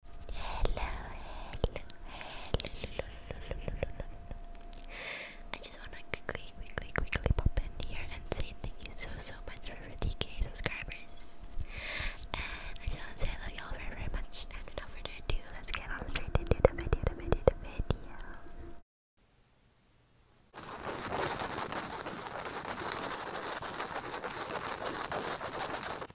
hello, hello. I just want to quickly, quickly, quickly pop in here and say thank you so, so much for 50k subscribers. And I just want to say I love y'all very, very much. And without further ado, let's get on straight into the video, the video, the video.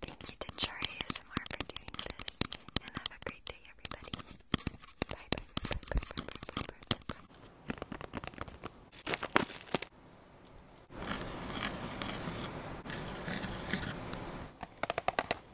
Thank you to Char ASMR for doing this, and have a great day, everybody. bye.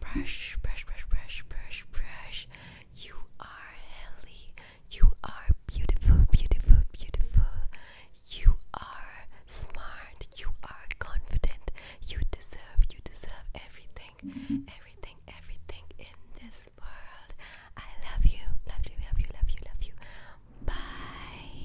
Brush, brush, brush, brush, brush, brush. You are healthy. You are beautiful, beautiful, beautiful. You are smart. You are confident. You deserve, you deserve everything, mm-hmm. everything, everything in this world. I love you, love you, love you, love you, love you. Bye.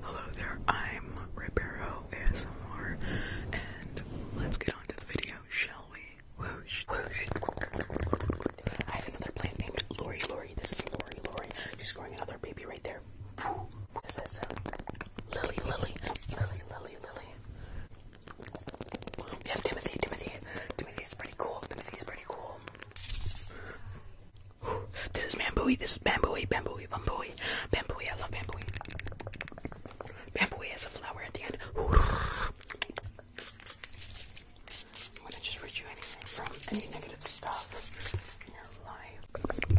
Hello there, I'm Ribeiro ASMR, and let's get on to the video, shall we? Whoosh, whoosh. I have another plant named Lori Lori. This is Lori Lori. She's growing another baby right there. This is Lily Lily. Lily Lily Lily. We have Timothy, Timothy. Timothy's pretty cool. Timothy's pretty cool. This is bambooey. This is bambooey. Bambooey. Bambooey. Bambooey. I love bambooey. Bambooey has a flower at the end. I'm gonna just rid you anything from any negative stuff in your life.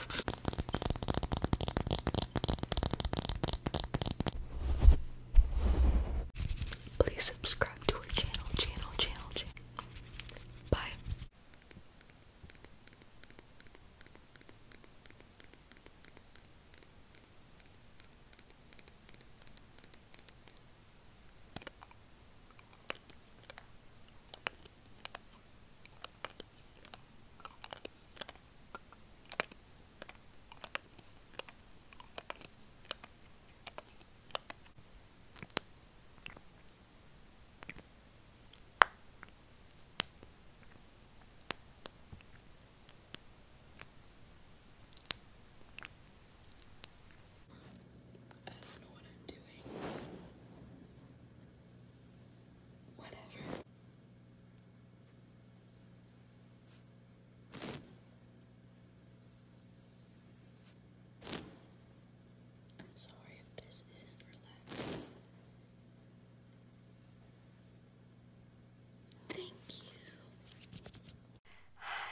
Please subscribe to our channel, channel, channel, channel. Bye. I don't know what I'm doing whatever. I'm sorry if this isn't relaxing. Thank you. Hi.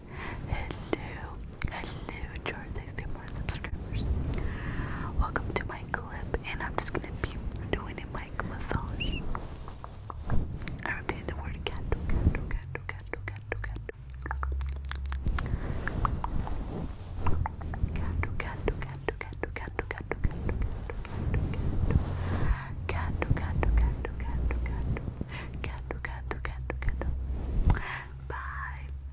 Hello, hello, to our subscribers. Welcome to my clip, and I'm just gonna be doing a mic massage. I repeat the word cat, cat, cat, cat, cat, cat. Bye.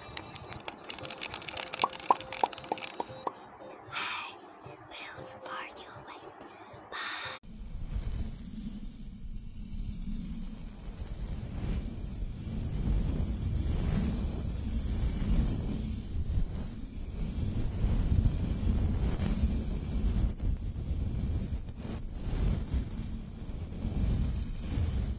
I will support you always. Bye.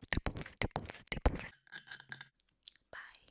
Stipple, stipple, stipple. Bye.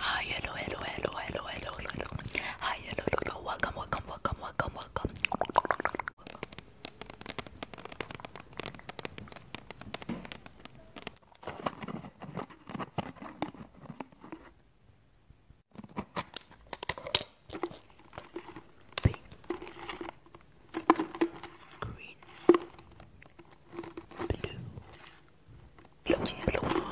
Hi, hello, hello, hello, hello, hello, hello. Hi, hello, hello, welcome, welcome, welcome, welcome, welcome pink, green, blue, blue, blue, blue, blue,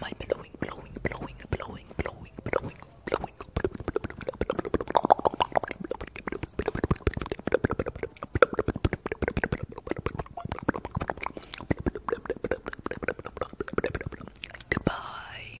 my blowing, blowing, blowing, blowing, blowing, blowing, blowing. Goodbye.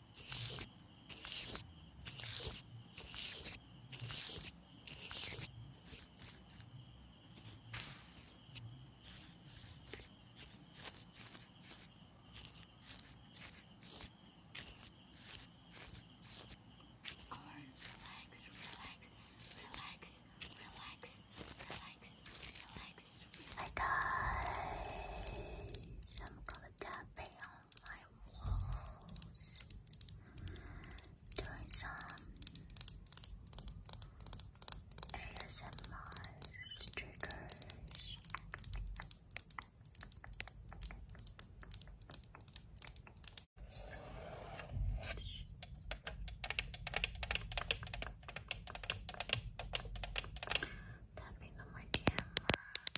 Corn, relax, relax, relax, relax, relax, relax. Hi guys, I'm gonna die tapping on my walls, doing some ASMR triggers. Tapping on my camera.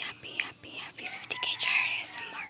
Happy, happy, happy 50k charity more.